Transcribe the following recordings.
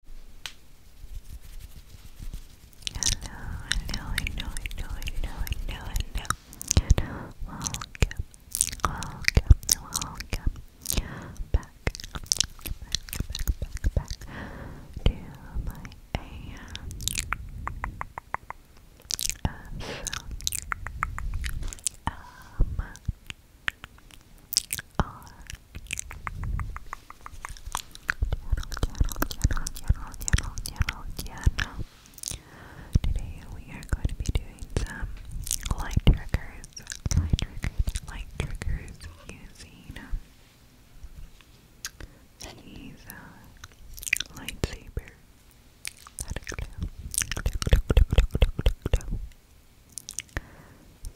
hello, hello, hello, hello, hello, hello. Welcome, welcome, welcome back, back, back, back, back to my AM um, um, are general, general, general, general, general. Today we are going to be doing some light triggers, light triggers, light triggers using these uh, lightsaber.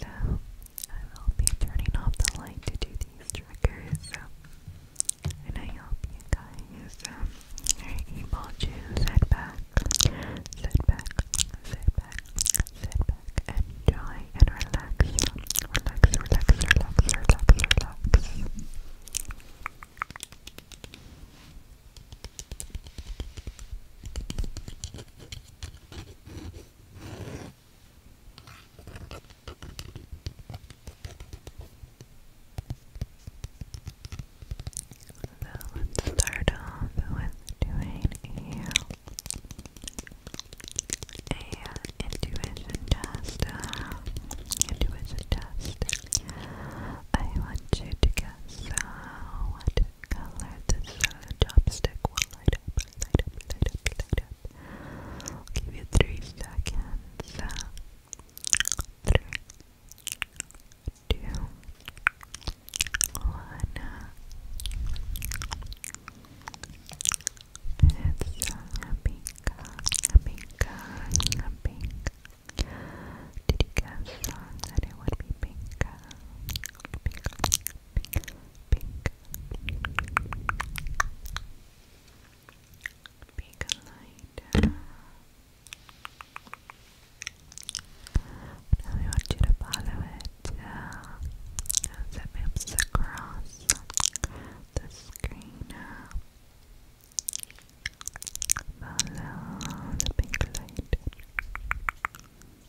So I will be turning off the light to do these triggers. And I hope you guys um, are able to sit back, sit back, sit back, sit back, enjoy and relax. Relax, relax, relax, relax, relax. So let's start off with doing a, a intuition test. intuition test. I want you to guess uh, what color this uh, chopstick will light up, light up, light up, light up. I'll give you three seconds. Uh, three, two, one. Uh, it's a pink, a pink, a pink. Did you guess uh, it would be pink? Uh, pink, pink, pink, pink light. I want you to follow it uh, as it across the screen. Follow the pink light.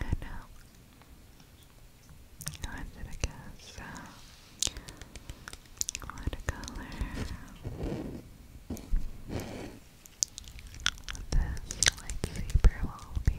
I know. I did a guess. Uh, what a color. This light zebra will be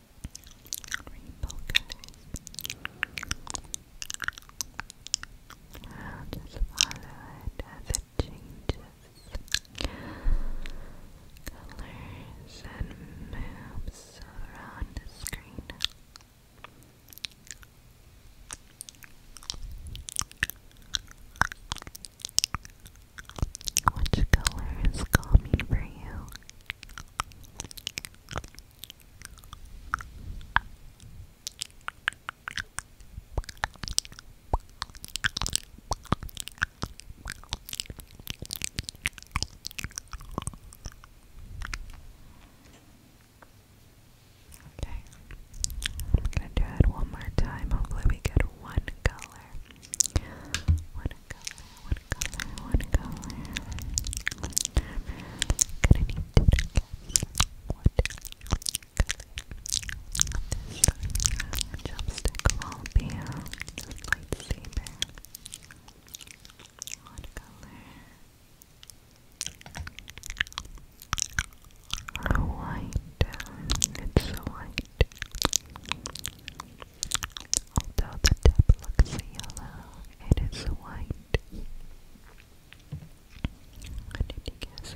rainbow Just follow it as it changes colors and moves around the screen. Which color is calming for you? Okay. I'm going to do it one more time. Hopefully, we get one color color, what color, what color? I'm gonna need to guess what color this chopstick will be. This lightsaber. What color? Or white. It's so white. Although the tip looks yellow, it is white. I did white?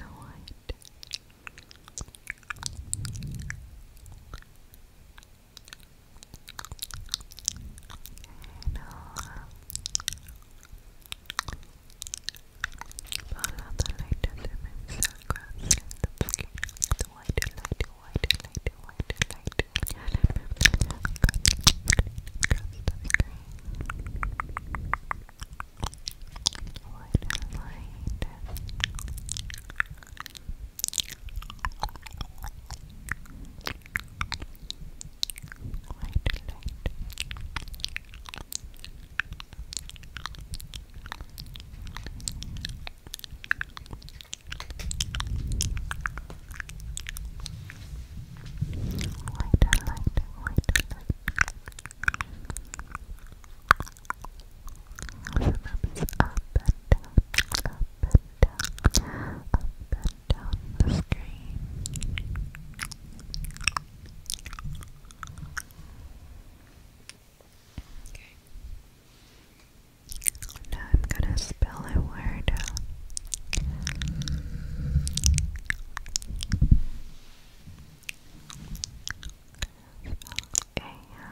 And I'll uh, follow the light as it moves across the skin. The white light white, light, white, light. White and light. White light. White light. Lighter, lighter, lighter, lighter. So up and down, up and down, up and down the screen. Okay. Now I'm gonna spell a word. Spell a.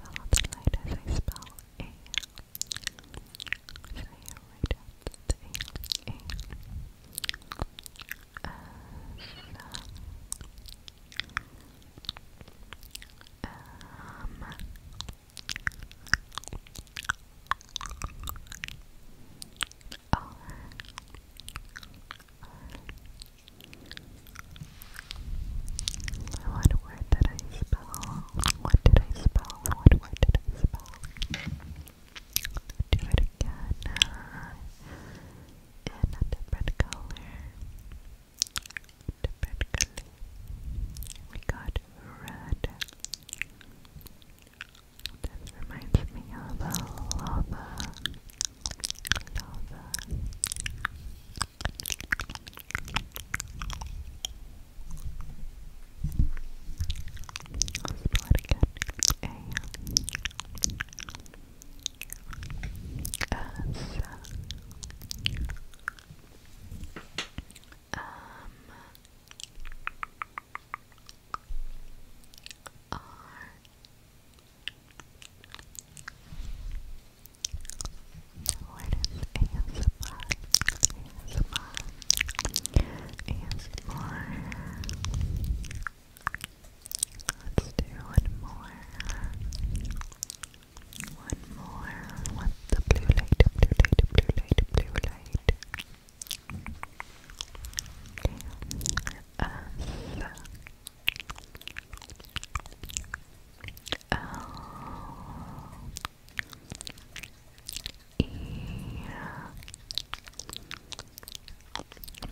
Well, it's light as I spell a. So you write out a. Um, R, what word did I spell? What did I spell? What word did I spell? Do it again uh, a different color typically we got red. This reminds me of lava, lava. Let's bloody get a as um are what is ASMR? ASMR Let's do one more one more with the blue light, blue light, blue light, blue light. Okay. S L E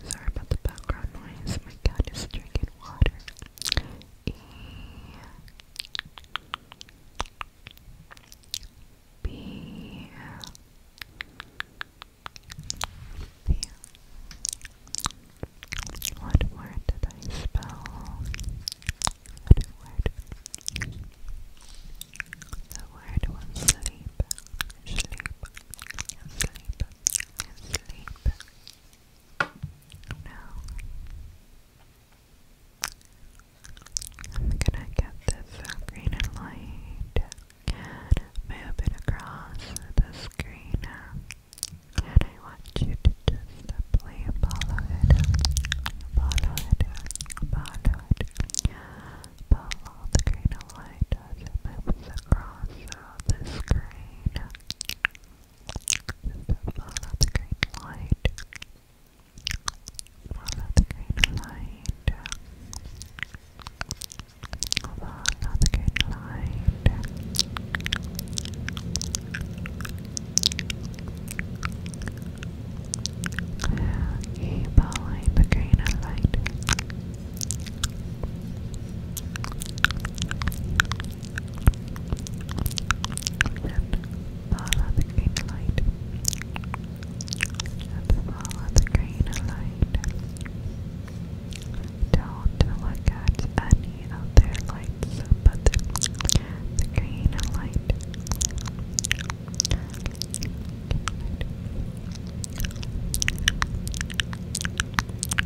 Sorry about the background noise. My cat is drinking water. E B B What word did I spell? What word? The word was sleep, sleep, sleep, sleep. No. I'm gonna get this uh, green light and across the screen. And I want you to just simply follow it. Follow it. Follow it. Follow the green light as it moves across the screen. Just follow the green light. Follow green light. Follow green light. Keep green light follow the green light. follow the green light. Don't look at any of lights but the, Green light.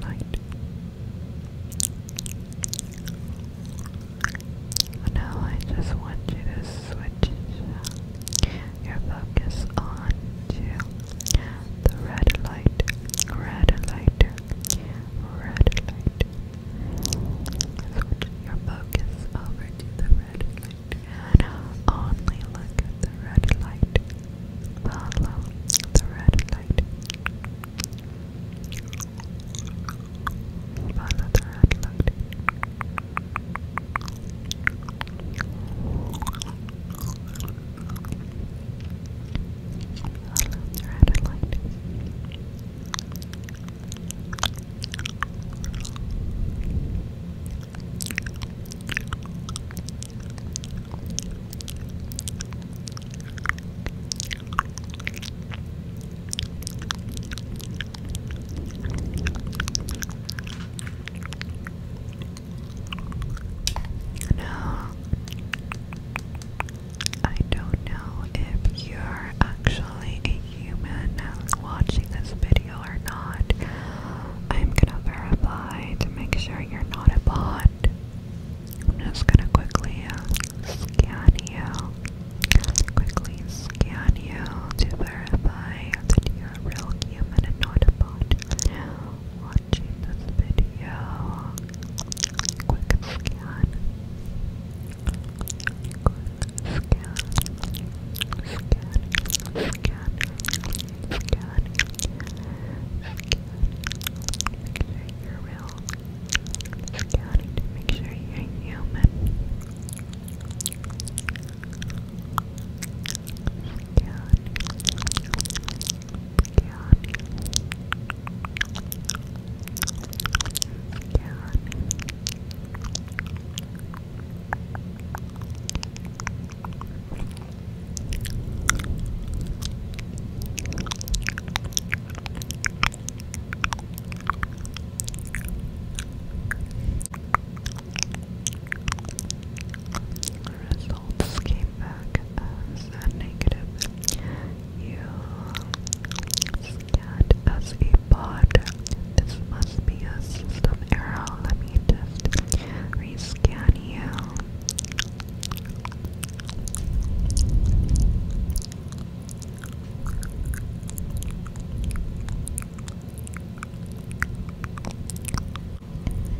night. Now I just want you to switch your focus on to the red light, red light, red light. Switch your focus over to the red light only look at the red light. Follow the red light. Follow the red light. Follow the red light. Now, I don't know if you're actually a human watching this video or not, I'm gonna verify to make sure you're not a bot. I'm just gonna quickly uh, scan you. Quickly scan you to verify that you're a real human and not a bot. Watching this video. Quick scan. Quick scan. Scan. Scan forget, forget, make sure you're real, forgetting to make sure you're human, forget, forget, forget, Results came back as negative. You scat as a pod. This must be a system error. Let me just scan you.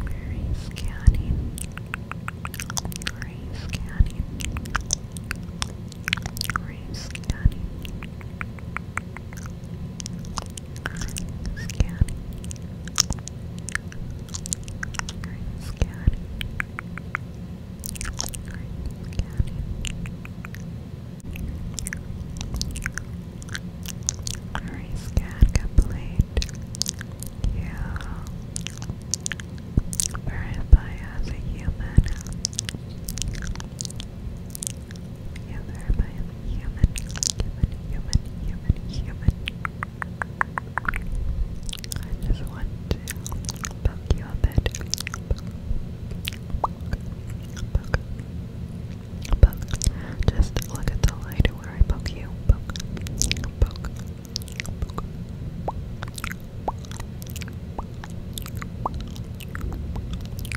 Very scanning. Very scanning. Scatty. Green scatty. Green scatty. Green scat complete. Yeah. Verified as a human. Human, human, human, human, human. I just want to poke you a bit. Poke, poke, poke. Just look at the light where I poke you. Poke, poke, poke. Poke,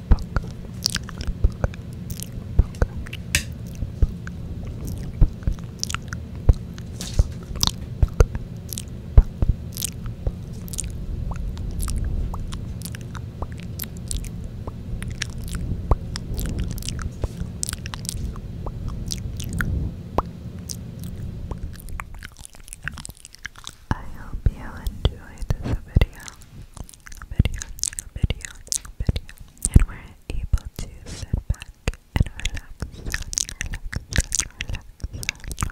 I hope you enjoyed this video video, and we're able to sit back and relax, relax, relax,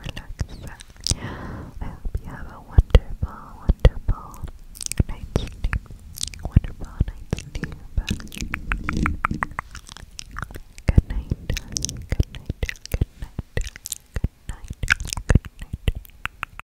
relax. I hope you have a wonderful, wonderful night's sleep. Wonderful night's sleep. Good night. Good night. Good night. Good night. Good night.